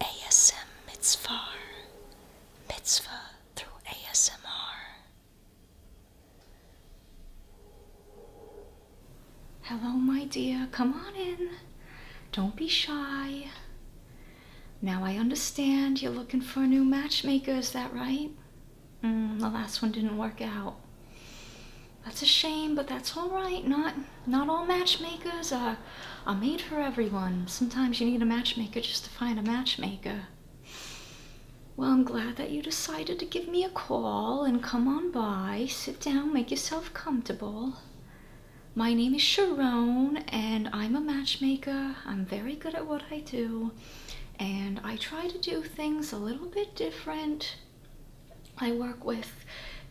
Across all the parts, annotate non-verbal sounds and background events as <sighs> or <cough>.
ASM Mitzvah, Mitzvah through ASMR. Hello, my dear. Come on in. Don't be shy. Now I understand you're looking for a new matchmaker, is that right? Mm, the last one didn't work out. That's a shame, but that's all right. Not not all matchmakers are, are made for everyone. Sometimes you need a matchmaker just to find a matchmaker. Well, I'm glad that you decided to give me a call and come on by. Sit down, make yourself comfortable. My name is Sharon, and I'm a matchmaker. I'm very good at what I do, and I try to do things a little bit different. I work with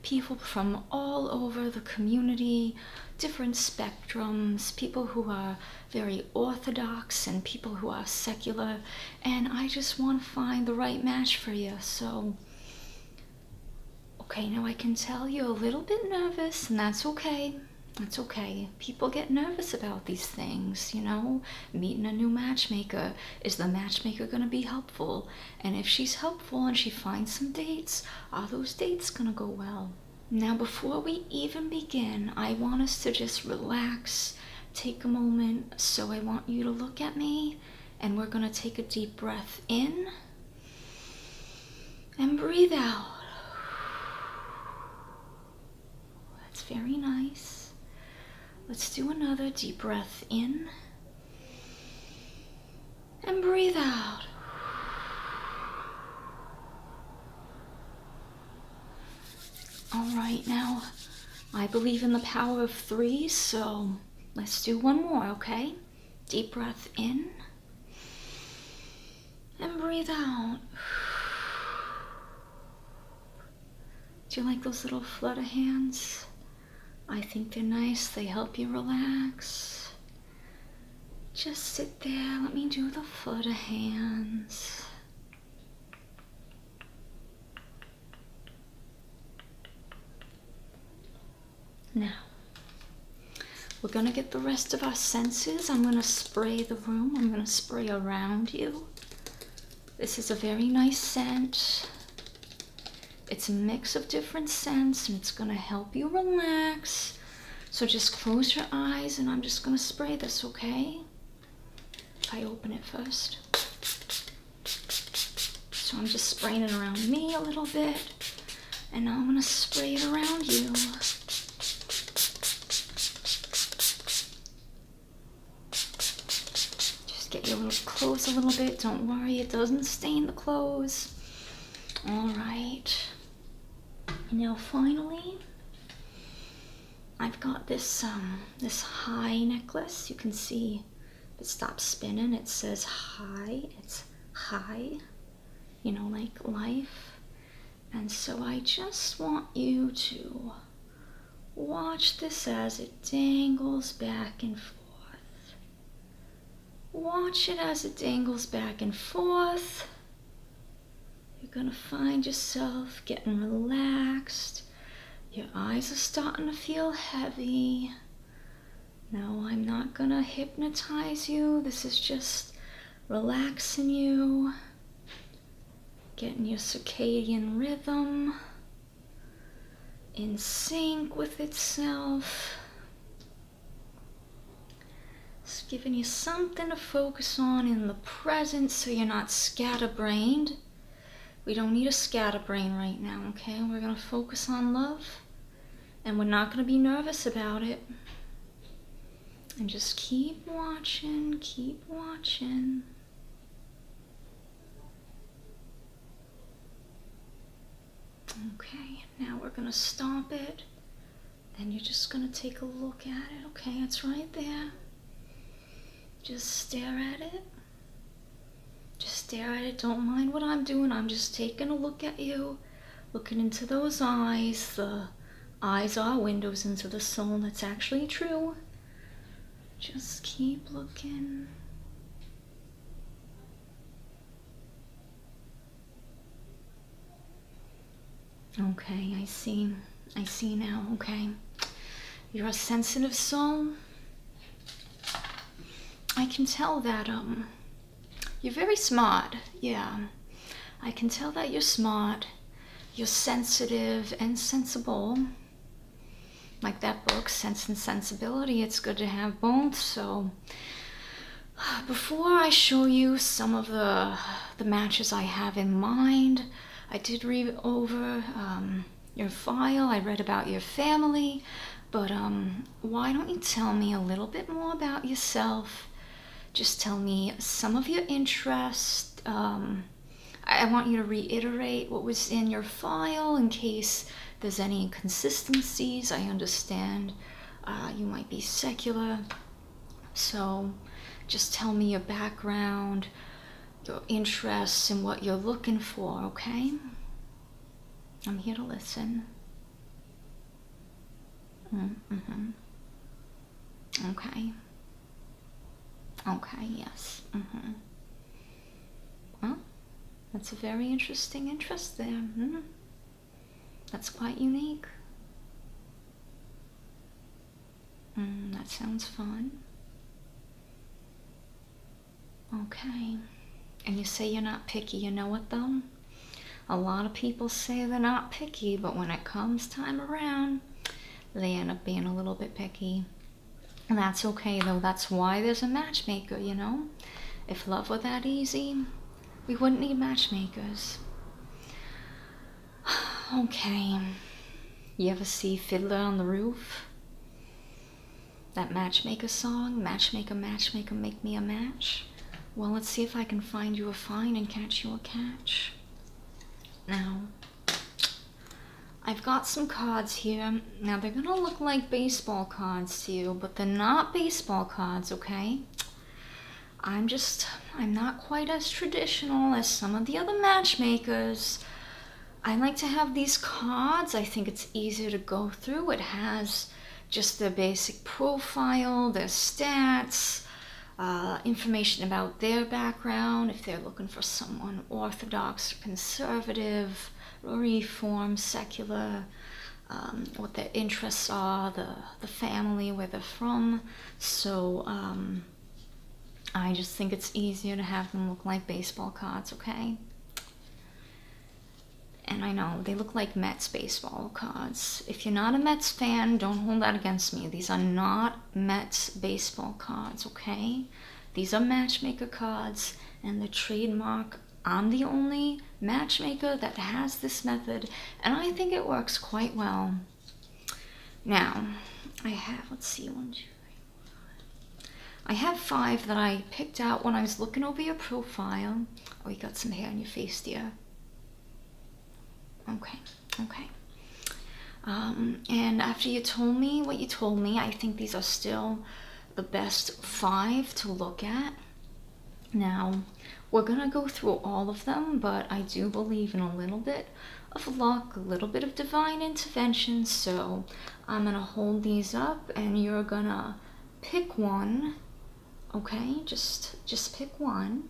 people from all over the community, different spectrums, people who are very orthodox and people who are secular, and I just want to find the right match for you. So, okay, now I can tell you a little bit nervous, and that's okay. That's okay. People get nervous about these things, you know? Meeting a new matchmaker. Is the matchmaker going to be helpful? And if she's helpful and she finds some dates, are those dates gonna go well? Now, before we even begin, I want us to just relax, take a moment. So, I want you to look at me, and we're gonna take a deep breath in and breathe out. That's very nice. Let's do another deep breath in and breathe out. All right, now I believe in the power of three, so let's do one more, okay? Deep breath in and breathe out. Do you like those little flutter hands? I think they're nice. They help you relax. Just sit there. Let me do the foot of hands. Now, we're going to get the rest of our senses. I'm going to spray the room. I'm going to spray around you. This is a very nice scent. It's a mix of different scents and it's gonna help you relax. So just close your eyes and I'm just gonna spray this, okay? If I open it first. So I'm just spraying it around me a little bit. And now I'm gonna spray it around you. Just get your little clothes a little bit. Don't worry, it doesn't stain the clothes. All right. And now finally, I've got this um this high necklace. You can see it stops spinning. It says high. It's high. You know, like life. And so I just want you to watch this as it dangles back and forth. Watch it as it dangles back and forth. You're gonna find yourself getting relaxed. Your eyes are starting to feel heavy. No, I'm not gonna hypnotize you. This is just relaxing you, getting your circadian rhythm in sync with itself. It's giving you something to focus on in the present so you're not scatterbrained. We don't need a scatterbrain right now, okay? We're going to focus on love and we're not going to be nervous about it. And just keep watching, keep watching. Okay, now we're gonna stomp it. and you're just gonna take a look at it. Okay, it's right there. Just stare at it. Just stare at it. Don't mind what I'm doing. I'm just taking a look at you, looking into those eyes. The eyes are windows into the soul. That's actually true. Just keep looking. Okay, I see. I see now, okay. You're a sensitive soul. I can tell that, um, you're very smart, yeah. I can tell that you're smart, you're sensitive and sensible. Like that book, Sense and Sensibility, it's good to have both, so before I show you some of the the matches I have in mind, I did read over um, your file. I read about your family, but um, why don't you tell me a little bit more about yourself? Just tell me some of your interests. Um, I want you to reiterate what was in your file in case there's any inconsistencies. I understand uh, you might be secular. So just tell me your background, your interests, and what you're looking for, okay? I'm here to listen. Mm hmm. Okay. Okay, yes. Mm hmm. Well, that's a very interesting interest there. Hmm. That's quite unique. Hmm, that sounds fun. Okay. And you say you're not picky. You know what, though? A lot of people say they're not picky, but when it comes time around, they end up being a little bit picky. And that's okay, though. That's why there's a matchmaker, you know? If love were that easy, we wouldn't need matchmakers. <sighs> okay. You ever see Fiddler on the Roof? That matchmaker song, Matchmaker, Matchmaker, Make Me a Match? Well, let's see if I can find you a fine and catch you a catch. Now, I've got some cards here now they're gonna look like baseball cards to you, but they're not baseball cards, okay? I'm just, I'm not quite as traditional as some of the other matchmakers. I like to have these cards. I think it's easier to go through. It has just the basic profile, their stats, uh, information about their background, if they're looking for someone orthodox conservative, reform, secular, um, what their interests are, the, the family, where they're from. So um, I just think it's easier to have them look like baseball cards, okay? And I know, they look like Mets baseball cards. If you're not a Mets fan, don't hold that against me. These are not Mets baseball cards, okay? These are matchmaker cards, and the trademark I'm the only matchmaker that has this method, and I think it works quite well. Now, I have, let's see, one, two, three, I have five that I picked out when I was looking over your profile. Oh, you got some hair on your face, dear. Okay, okay. Um, and after you told me what you told me, I think these are still the best five to look at. Now, we're going to go through all of them, but I do believe in a little bit of luck, a little bit of divine intervention, so I'm going to hold these up and you're going to pick one, okay? Just, just pick one.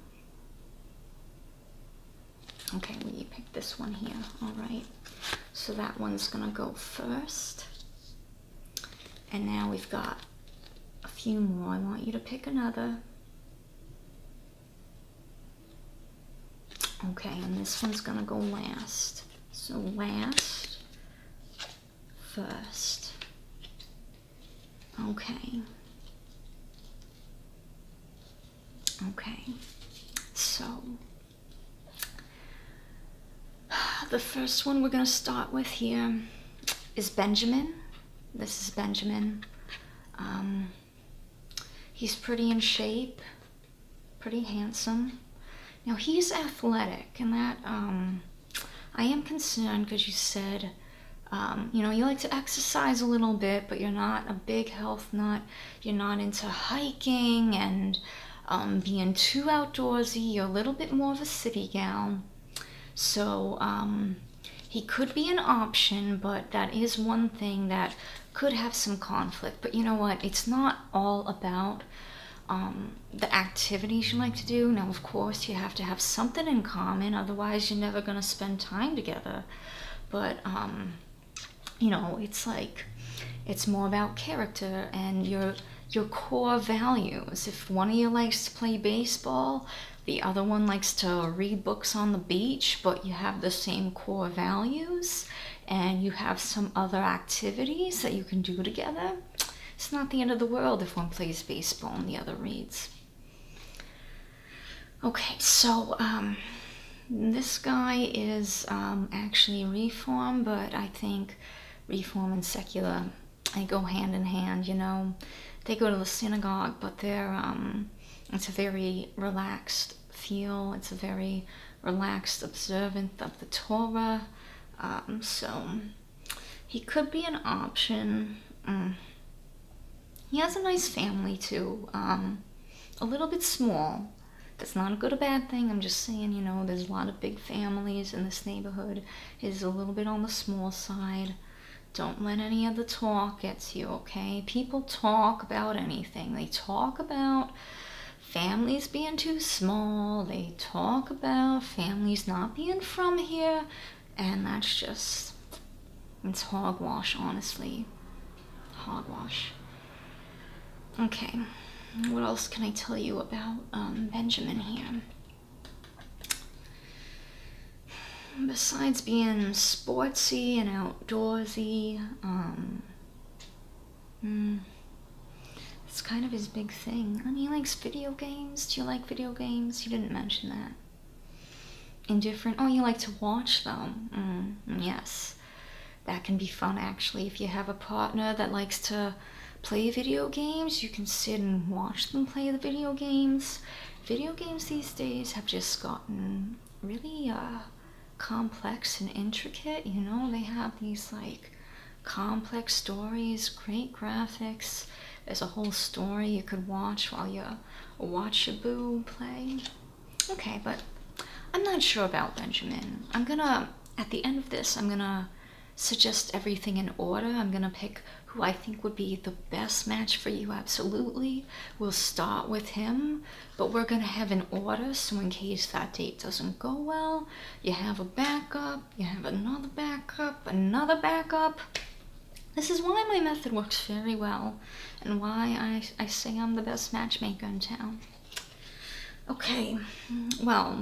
Okay, we pick this one here, all right? So that one's going to go first. And now we've got a few more. I want you to pick another. Okay, and this one's gonna go last. So last, first. Okay. Okay. So <sighs> The first one we're going to start with here is Benjamin. This is Benjamin. Um, he's pretty in shape, pretty handsome. Now he's athletic, and that um, I am concerned because you said, um, you know, you like to exercise a little bit, but you're not a big health nut. You're not into hiking and um, being too outdoorsy, a little bit more of a city gal. So um, he could be an option, but that is one thing that could have some conflict. But you know what? It's not all about um, the activities you like to do. Now, of course, you have to have something in common, otherwise, you're never going to spend time together. But, um, you know, it's like it's more about character and your your core values. If one of you likes to play baseball, the other one likes to read books on the beach, but you have the same core values and you have some other activities that you can do together, it's not the end of the world if one plays baseball and the other reads. Okay, so um, this guy is um, actually reformed, but I think reform and secular they go hand in hand you know they go to the synagogue but they're um, it's a very relaxed feel it's a very relaxed observant of the torah um, so he could be an option mm. he has a nice family too um, a little bit small that's not a good or bad thing. I'm just saying, you know, there's a lot of big families, in this neighborhood It is a little bit on the small side. Don't let any of the talk get to you, okay? People talk about anything. They talk about families being too small. They talk about families not being from here. And that's just, it's hogwash, honestly. Hogwash. Okay, what else can I tell you about um, Benjamin here? Besides being sportsy and outdoorsy, um, hmm, it's kind of his big thing. And he likes video games. Do you like video games? You didn't mention that. Indifferent. Oh, you like to watch, them. Mm, yes that can be fun actually if you have a partner that likes to play video games you can sit and watch them play the video games video games these days have just gotten really uh, complex and intricate you know they have these like complex stories great graphics there's a whole story you could watch while you watch a boo play okay but i'm not sure about benjamin i'm gonna at the end of this i'm gonna so just everything in order. I'm going to pick who I think would be the best match for you, absolutely. We'll start with him, but we're going to have an order so, in case that date doesn't go well, you have a backup, you have another backup, another backup. This is why my method works very well and why I, I say I'm the best matchmaker in town. Okay, well,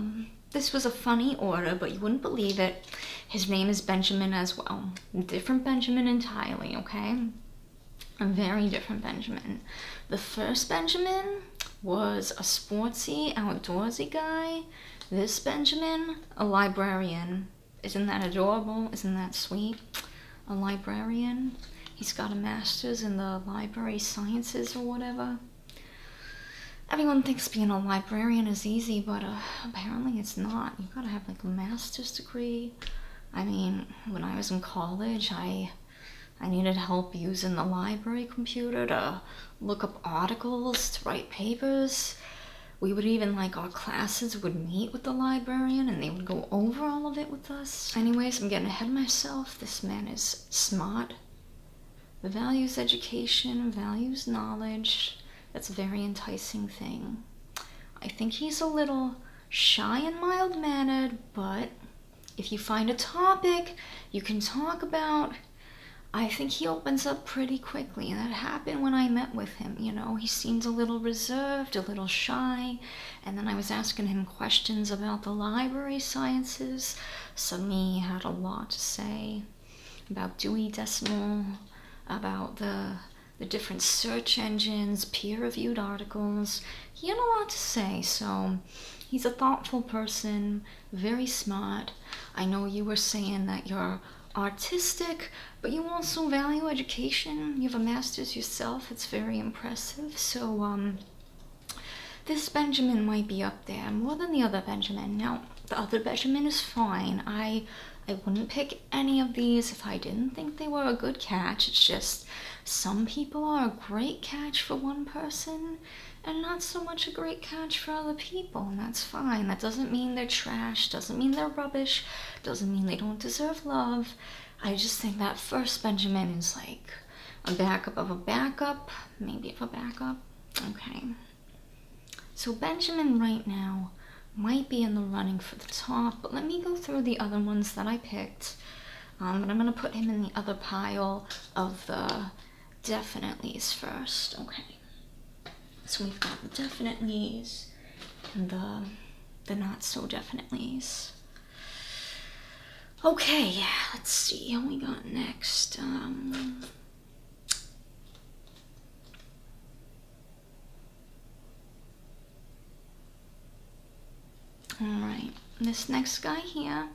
this was a funny order, but you wouldn't believe it. His name is Benjamin as well. Different Benjamin entirely, okay? A very different Benjamin. The first Benjamin was a sportsy, outdoorsy guy. This Benjamin, a librarian. Isn't that adorable? Isn't that sweet? A librarian. He's got a master's in the library sciences or whatever. Everyone thinks being a librarian is easy, but uh, apparently it's not. You gotta have like a master's degree. I mean, when I was in college, I I needed help using the library computer to look up articles, to write papers. We would even like our classes would meet with the librarian and they would go over all of it with us. Anyways, I'm getting ahead of myself. This man is smart values education, values knowledge. That's a very enticing thing. I think he's a little shy and mild mannered, but if you find a topic you can talk about, I think he opens up pretty quickly. that happened when I met with him. You know, he seems a little reserved, a little shy. And then I was asking him questions about the library sciences. Suddenly had a lot to say about Dewey Decimal, about the the different search engines, peer-reviewed articles. He had a lot to say, so he's a thoughtful person, very smart. I know you were saying that you're artistic, but you also value education. You have a master's yourself. It's very impressive. So um, this Benjamin might be up there more than the other Benjamin. Now, the other Benjamin is fine. I I wouldn't pick any of these if I didn't think they were a good catch. It's just some people are a great catch for one person and not so much a great catch for other people, and that's fine. That doesn't mean they're trash, doesn't mean they're rubbish, doesn't mean they don't deserve love. I just think that first Benjamin is like a backup of a backup maybe if I back up. Okay. So Benjamin right now might be in the running for the top, but let me go through the other ones that I picked. Um, but I'm going to put him in the other pile of the definitelys first. Okay. So we've got the definitelys and the, the not so definitelys. Okay, let's see what we got next. Um. all right, this next guy here,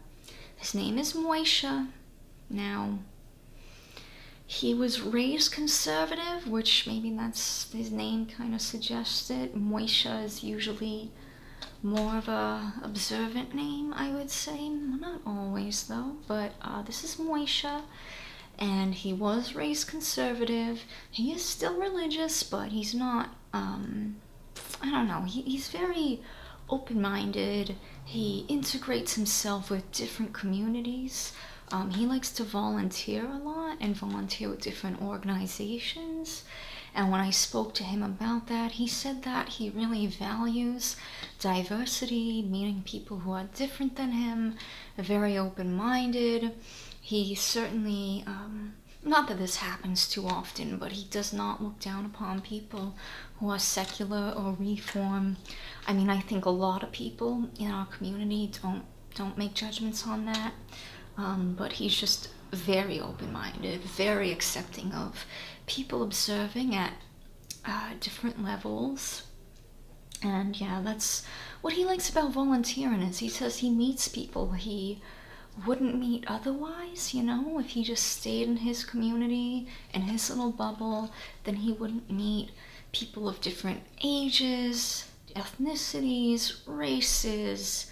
his name is Moisha. Now, he was raised conservative, which maybe that's his name kind of suggested. Moisha is usually more of a observant name, I would say. Not always though, but uh, this is Moisha, and he was raised conservative. He is still religious, but he's not. Um, I don't know. he's very open-minded. He integrates himself with different communities. Um, he likes to volunteer a lot and volunteer with different organizations. And when I spoke to him about that, he said that he really values diversity, meeting people who are different than him, very open minded. He certainly, um, not that this happens too often, but he does not look down upon people who are secular or reform. I mean, I think a lot of people in our community don't don't make judgments on that. Um, but he's just very open-minded, very accepting of people observing at uh, different levels. And yeah, that's what he likes about volunteering is he says he meets people he wouldn't meet otherwise, you know? If he just stayed in his community, in his little bubble, then he wouldn't meet people of different ages, ethnicities, races,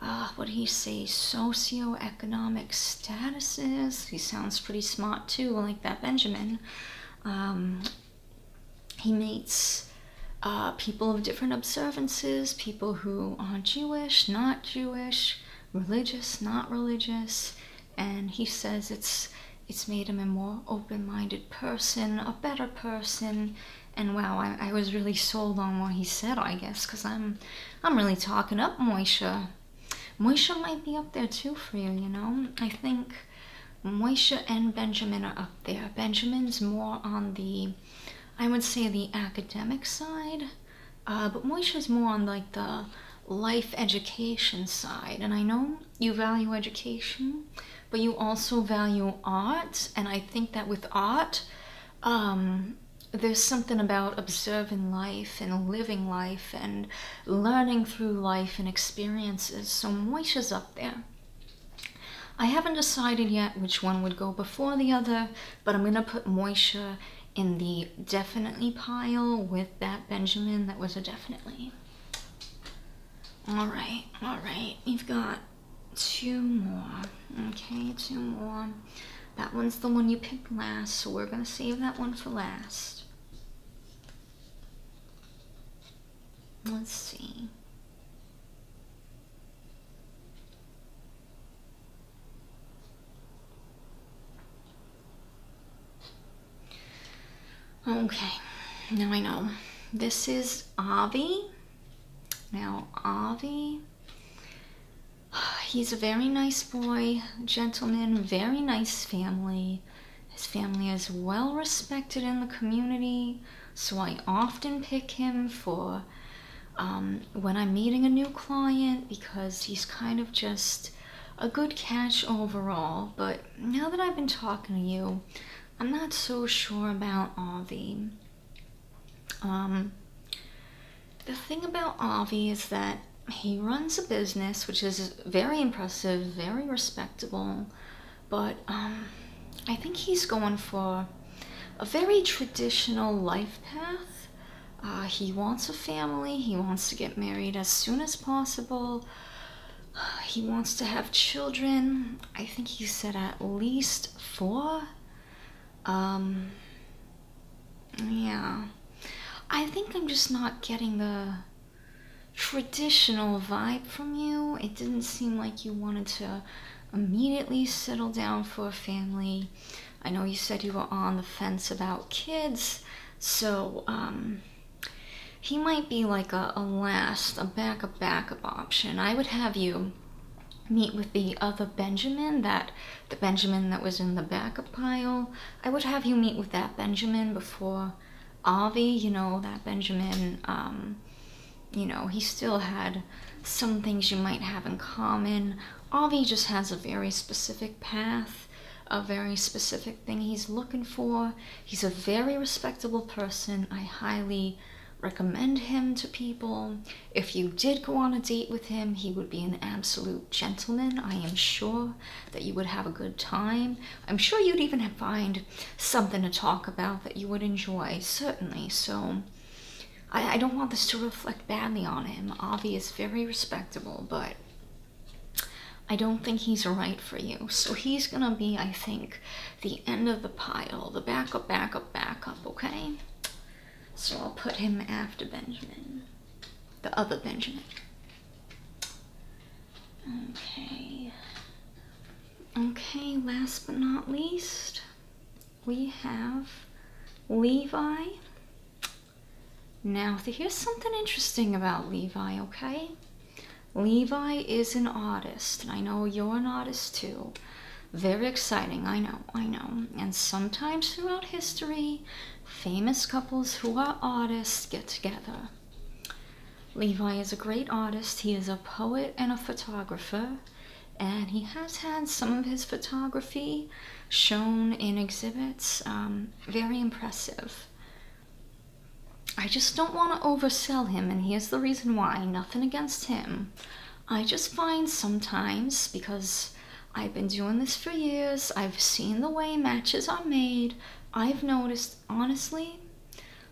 uh, what do he say, socioeconomic statuses. He sounds pretty smart too, like that Benjamin. Um, he meets uh, people of different observances, people who are Jewish, not Jewish, religious, not religious, and he says it's it's made him a more open-minded person, a better person, and wow, I, I was really sold on what he said, I guess, because I'm I'm really talking up Moisha. Moisha might be up there too for you, you know? I think Moisha and Benjamin are up there. Benjamin's more on the, I would say, the academic side, uh, but Moisha's more on like the life education side. And I know you value education, but you also value art. And I think that with art, um, there's something about observing life and living life and learning through life and experiences. So Moish is up there. I haven't decided yet which one would go before the other, but I'm going to put Moisha in the definitely pile with that Benjamin that was a definitely. All right, all right, we've got two more. Okay, two more. That one's the one you picked last, so we're going to save that one for last. Let's see. Okay, now I know. This is Avi. Now, Avi <sighs> He's a very nice boy, gentleman, very nice family. His family is well respected in the community, so I often pick him for um, when I'm meeting a new client because he's kind of just a good catch overall. But now that I've been talking to you, I'm not so sure about all the. Um, the thing about Avi is that he runs a business which is very impressive, very respectable, but um, I think he's going for a very traditional life path. Uh, he wants a family, he wants to get married as soon as possible, <sighs> he wants to have children. I think he said at least four. Um, yeah. I think I'm just not getting the traditional vibe from you. It didn't seem like you wanted to immediately settle down for a family. I know you said you were on the fence about kids, so um, he might be like a last, a backup, backup option. I would have you meet with the other Benjamin, that the Benjamin that was in the backup pile, I would have you meet with that Benjamin before Avi, you know, that Benjamin, um, you know, he still had some things you might have in common. Avi just has a very specific path, a very specific thing he's looking for. He's a very respectable person. I highly recommend him to people. If you did go on a date with him, he would be an absolute gentleman. I am sure that you would have a good time. I'm sure you'd even find something to talk about that you would enjoy, certainly. So I, don't want this to reflect badly on him. Avi is very respectable, but I don't think he's right for you. So he's gonna be, I think, the end of the pile, the backup, backup, backup, okay? So I'll put him after Benjamin. The other Benjamin. Okay. Okay, last but not least, we have Levi. Now, here's something interesting about Levi, okay? Levi is an artist, and I know you're an artist too. Very exciting, I know, I know. And sometimes throughout history, famous couples who are artists get together. Levi is a great artist, he is a poet and a photographer, and he has had some of his photography shown in exhibits. Um, very impressive. I just don't want to oversell him, and here's the reason why nothing against him. I just find sometimes because I've been doing this for years, I've seen the way matches are made. I've noticed, honestly,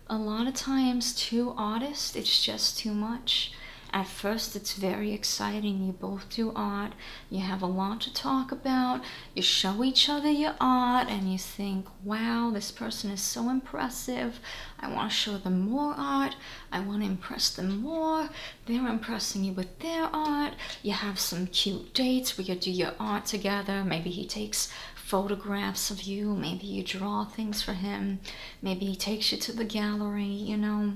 a lot of times too, artists, it's just too much. At first, it's very exciting. You both do art, you have a lot to talk about, you show each other your art, and you think, wow, this person is so impressive. I want to show them more art, I want to impress them more. They're impressing you with their art. You have some cute dates We you do your art together. Maybe he takes photographs of you. Maybe you draw things for him. Maybe he takes you to the gallery, you know.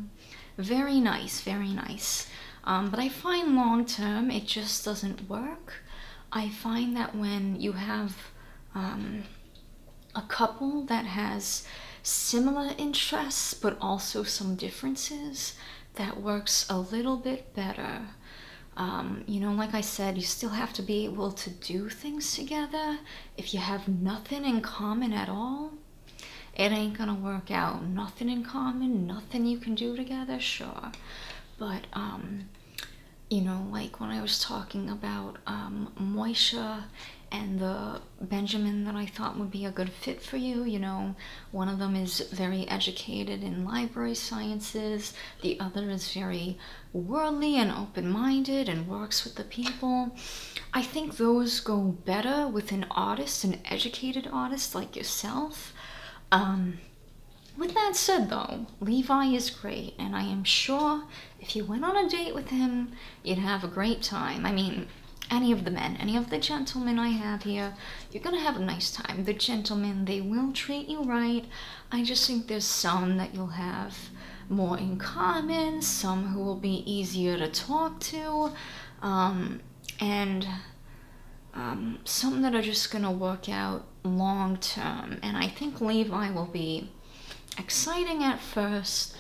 Very nice, very nice. Um, but I find long term it just doesn't work. I find that when you have um, a couple that has similar interests but also some differences that works a little bit better. Um, you know, like I said, you still have to be able to do things together. If you have nothing in common at all, it ain't gonna work out. Nothing in common, nothing you can do together, sure. But, um, you know, like when I was talking about um, Moisha and the Benjamin that I thought would be a good fit for you. You know, one of them is very educated in library sciences, the other is very worldly and open minded and works with the people. I think those go better with an artist, an educated artist like yourself. Um, with that said, though, Levi is great, and I am sure if you went on a date with him, You'd have a great time. I mean, any of the men, any of the gentlemen I have here, you're gonna have a nice time. The gentlemen, they will treat you right. I just think there's some that you'll have more in common, some who will be easier to talk to, um, and um, some that are just gonna work out long term. And I think Levi will be exciting at first,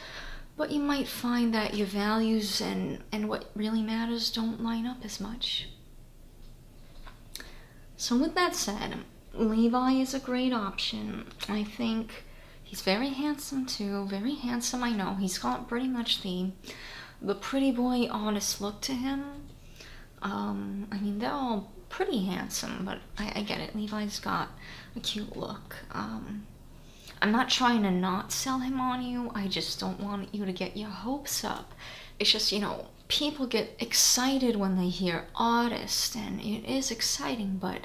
but you might find that your values and, and what really matters don't line up as much. So, with that said, Levi is a great option. I think he's very handsome too, very handsome, I know. He's got pretty much the, the pretty boy honest look to him. Um, I mean, they're all pretty handsome, but I, get it. Levi's got a cute look. Um, I'm not trying to not sell him on you. I just don't want you to get your hopes up. It's just, you know, people get excited when they hear artist and it is exciting, but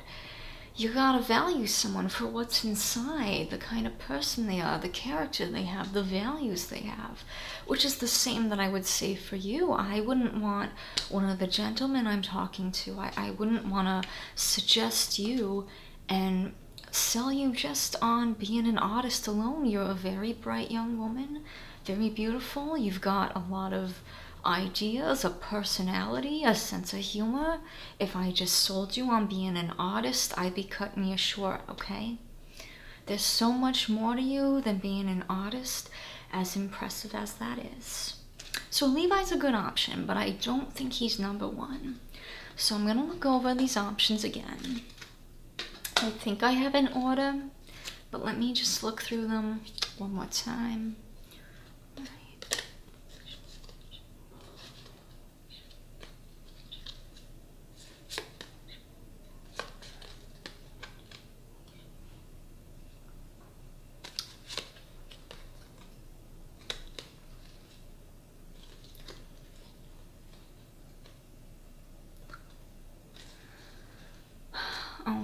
you gotta value someone for what's inside, the kind of person they are, the character they have, the values they have, which is the same that I would say for you. I wouldn't want one of the gentlemen I'm talking to, I, I wouldn't wanna suggest you and sell you just on being an artist alone. You're a very bright young woman, very beautiful. You've got a lot of ideas, a personality, a sense of humor. If I just sold you on being an artist, I'd be cutting you short, okay? There's so much more to you than being an artist, as impressive as that is. So Levi's a good option, but I don't think he's number one. So I'm gonna look over these options again. I think I have an order, but let me just look through them one more time.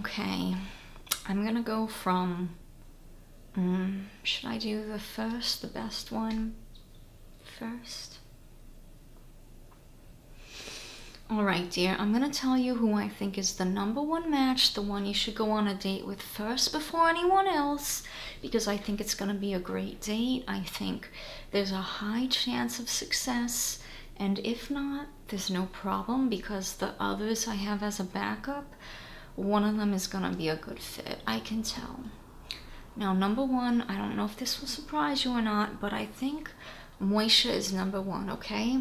Okay, I'm gonna go from. Mm, should I do the first, the best one first? Alright, dear, I'm gonna tell you who I think is the number one match, the one you should go on a date with first before anyone else because I think it's going to be a great date. I think there's a high chance of success. And if not, there's no problem because the others I have as a backup, one of them is going to be a good fit. I can tell. Now, number one, I don't know if this will surprise you or not, but I think Moisha is number one, okay?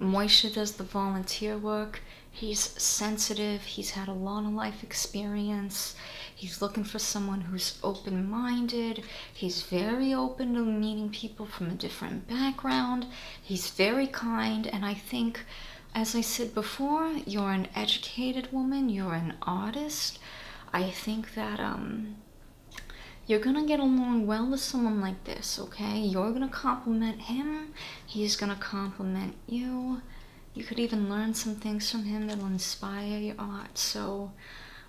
Moisha does the volunteer work. He's sensitive. He's had a lot of life experience. He's looking for someone who's open minded. He's very open to meeting people from a different background. He's very kind. And I think, as I said before, you're an educated woman, you're an artist. I think that, um, you're gonna get along well with someone like this, okay? You're gonna compliment him, He's gonna compliment you. You could even learn some things from him that'll inspire your art. So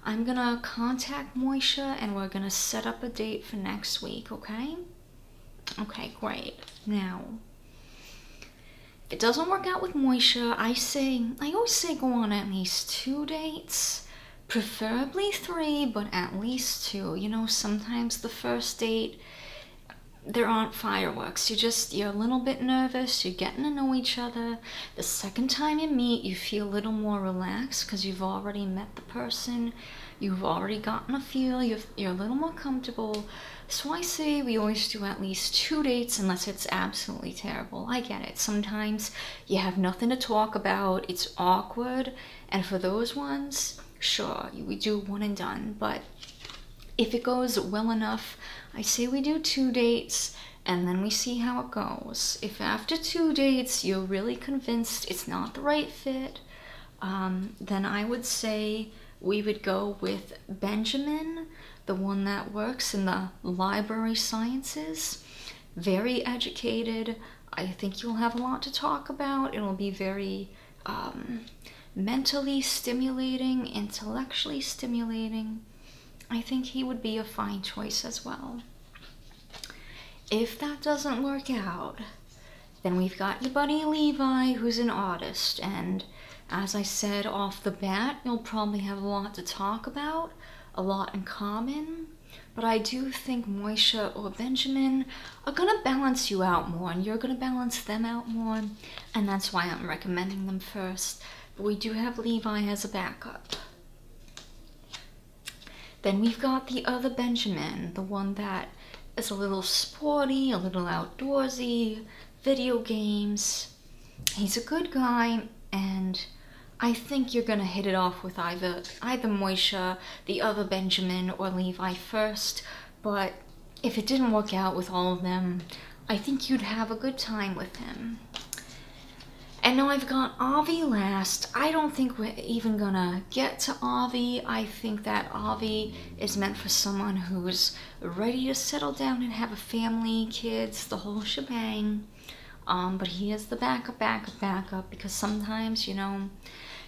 I'm gonna contact Moisha and we're gonna set up a date for next week, okay? Okay, great. Now, if it doesn't work out with Moisha, I say, I always say go on at least two dates, preferably three, but at least two. You know, sometimes the first date there aren't fireworks. You just, you're a little bit nervous, you're getting to know each other. The second time you meet, you feel a little more relaxed because you've already met the person, you've already gotten a feel, you are a little more comfortable. So I say we always do at least two dates unless it's absolutely terrible. I get it. Sometimes you have nothing to talk about, it's awkward, and for those ones, sure we do one and done but if it goes well enough i say we do two dates and then we see how it goes if after two dates you're really convinced it's not the right fit um, then i would say we would go with benjamin the one that works in the library sciences very educated i think you'll have a lot to talk about it'll be very um, mentally stimulating, intellectually stimulating. I think he would be a fine choice as well. If that doesn't work out, then we've got buddy Levi, who's an artist, and as I said off the bat, you'll probably have a lot to talk about, a lot in common, but I do think Moisha or Benjamin are gonna balance you out more and you're gonna balance them out more, and that's why I'm recommending them first. But we do have Levi as a backup. Then we've got the other Benjamin, the one that is a little sporty, a little outdoorsy, video games. He's a good guy, and I think you're gonna hit it off with either either Moishe, the other Benjamin, or Levi first. But if it didn't work out with all of them, I think you'd have a good time with him. And now I've got Avi last. I don't think we're even gonna get to Avi. I think that Avi is meant for someone who's ready to settle down and have a family, kids, the whole shebang. Um, but he is the backup, backup, backup because sometimes, you know,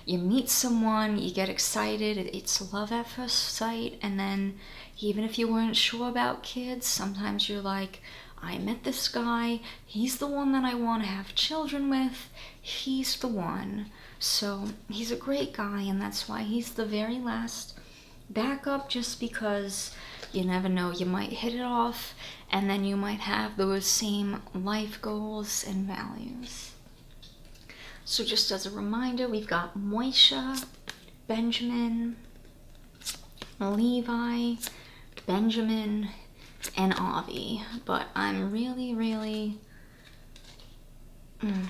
you meet someone, you get excited, it's love at first sight, and then even if you weren't sure about kids, sometimes you're like, I met this guy, he's the one that I want to have children with, he's the one. So he's a great guy, and that's why he's the very last backup, just because you never know, you might hit it off, and then you might have those same life goals and values. So just as a reminder, we've got Moisha, Benjamin, Levi, Benjamin, and Avi. But I'm really, really, mm,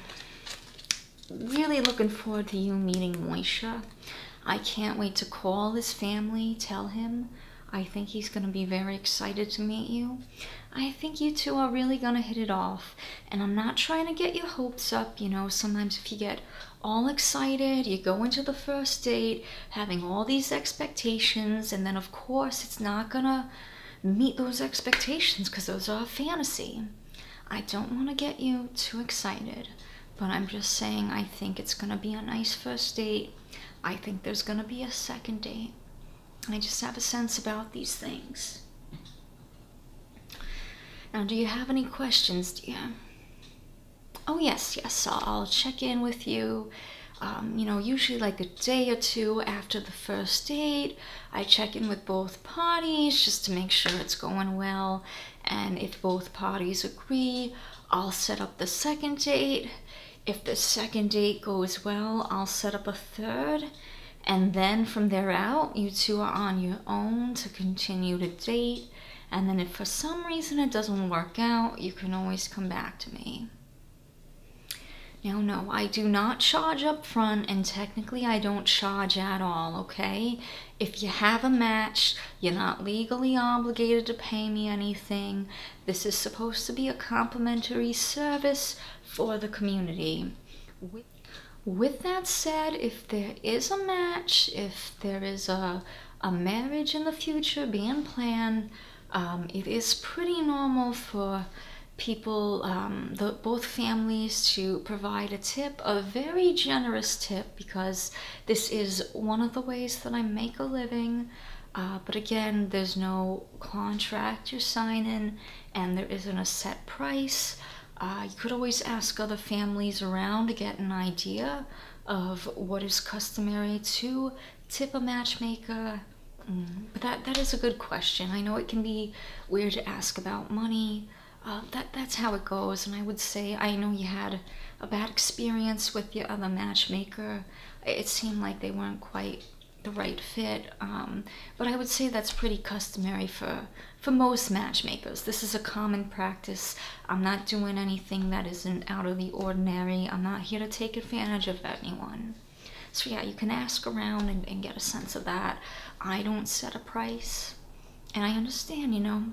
really looking forward to you meeting Moisha. I can't wait to call his family, tell him. I think he's going to be very excited to meet you. I think you two are really gonna hit it off. And I'm not trying to get your hopes up, you know, sometimes if you get all excited, you go into the first date having all these expectations, and then of course it's not gonna meet those expectations because those are a fantasy. I don't wanna get you too excited, but I'm just saying I think it's gonna be a nice first date. I think there's gonna be a second date. I just have a sense about these things. Now, do you have any questions, dear? Oh, yes, yes, I'll, check in with you. Um, you know, usually like a day or two after the first date, I check in with both parties just to make sure it's going well. And if both parties agree, I'll set up the second date. If the second date goes well, I'll set up a third. And then from there out, you two are on your own to continue the date. And then if for some reason it doesn't work out, you can always come back to me. Now, no, I do not charge up front, and technically I don't charge at all, okay? If you have a match, you're not legally obligated to pay me anything. This is supposed to be a complimentary service for the community. With that said, if there is a match, if there is a, a marriage in the future being planned, um, it is pretty normal for people, um, the, both families, to provide a tip, a very generous tip, because this is one of the ways that I make a living. Uh, but again, there's no contract you're signing and there isn't a set price. Uh, you could always ask other families around to get an idea of what is customary to tip a matchmaker. Mm, but that, that is a good question. I know it can be weird to ask about money. Uh, that that's how it goes, and I would say I know you had a bad experience with the other matchmaker. It seemed like they weren't quite the right fit. Um, but I would say that's pretty customary for for most matchmakers. This is a common practice. I'm not doing anything that isn't out of the ordinary. I'm not here to take advantage of anyone. So yeah, you can ask around and get a sense of that. I don't set a price. And I understand, you know,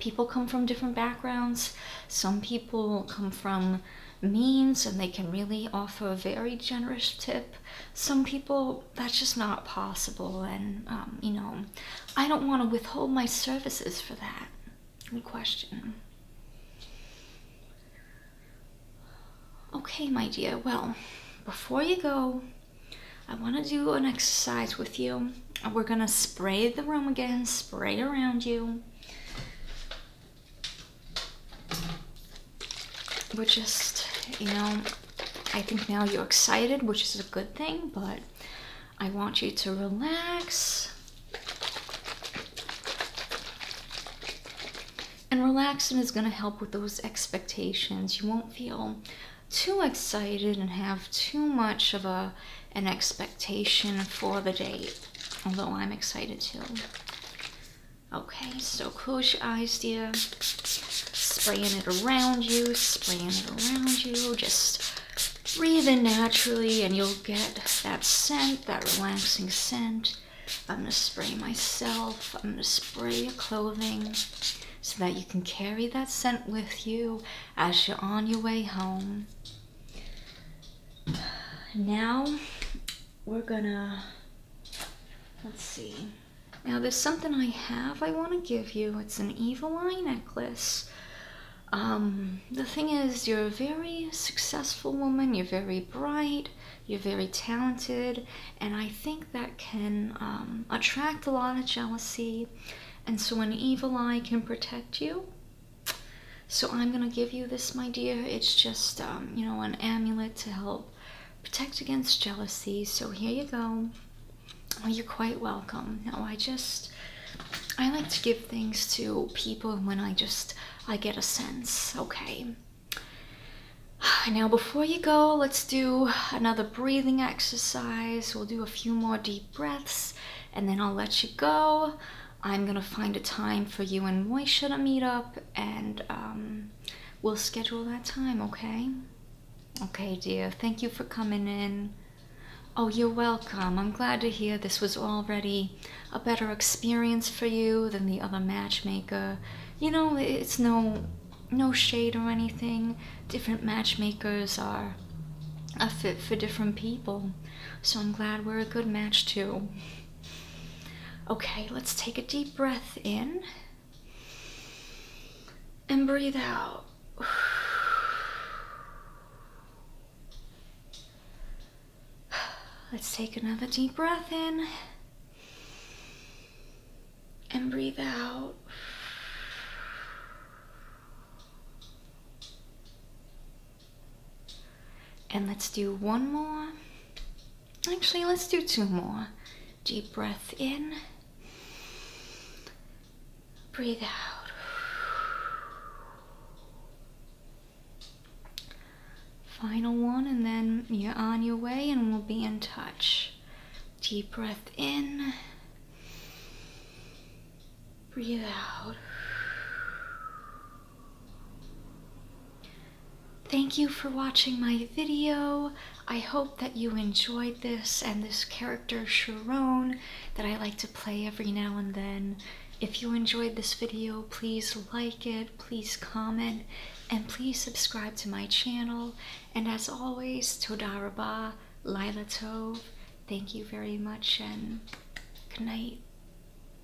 people come from different backgrounds. Some people come from means and they can really offer a very generous tip. Some people, that's just not possible, and um, you know, I don't want to withhold my services for that. Good question. Okay, my dear, well, before you go, I want to do an exercise with you. We're going to spray the room again, spray around you we're just, you know, I think now you're excited, which is a good thing, but I want you to relax. And relax, and is going to help with those expectations. You won't feel too excited and have too much of a an expectation for the date, although I'm excited too. Okay, so close your eyes, dear. Spraying it around you, spraying it around you. Just breathe in naturally, and you'll get that scent, that relaxing scent. I'm gonna spray myself. I'm gonna spray your clothing so that you can carry that scent with you as you're on your way home. Now, we're gonna, let's see. Now there's something I have I want to give you. It's an evil eye necklace. Um, the thing is, you're a very successful woman, you're very bright, you're very talented, and I think that can um, attract a lot of jealousy. And so an evil eye can protect you. So I'm gonna give you this, my dear. It's just, um, you know, an amulet to help protect against jealousy. So here you go. Oh, you're quite welcome. Now I just, I like to give things to people when I just, I get a sense. Okay. <sighs> Now, before you go, let's do another breathing exercise. We'll do a few more deep breaths and then I'll let you go. I'm gonna find a time for you and Moi to meet up and um, we'll schedule that time, okay? Okay, dear. Thank you for coming in. Oh, you're welcome. I'm glad to hear this was already a better experience for you than the other matchmaker. You know, it's no no shade or anything. Different matchmakers are a fit for different people. So I'm glad we're a good match too. Okay, let's take a deep breath in and breathe out. <sighs> Let's take another deep breath in and breathe out. And let's do one more. Actually, let's do two more. Deep breath in. Breathe out. Final one, and then you're on your way, and we'll be in touch. Deep breath in. Breathe out. Thank you for watching my video. I hope that you enjoyed this and this character Sharon that I like to play every now and then. If you enjoyed this video, please like it, please comment, and please subscribe to my channel. And as always, Todaraba, Lila Thank you very much and good night.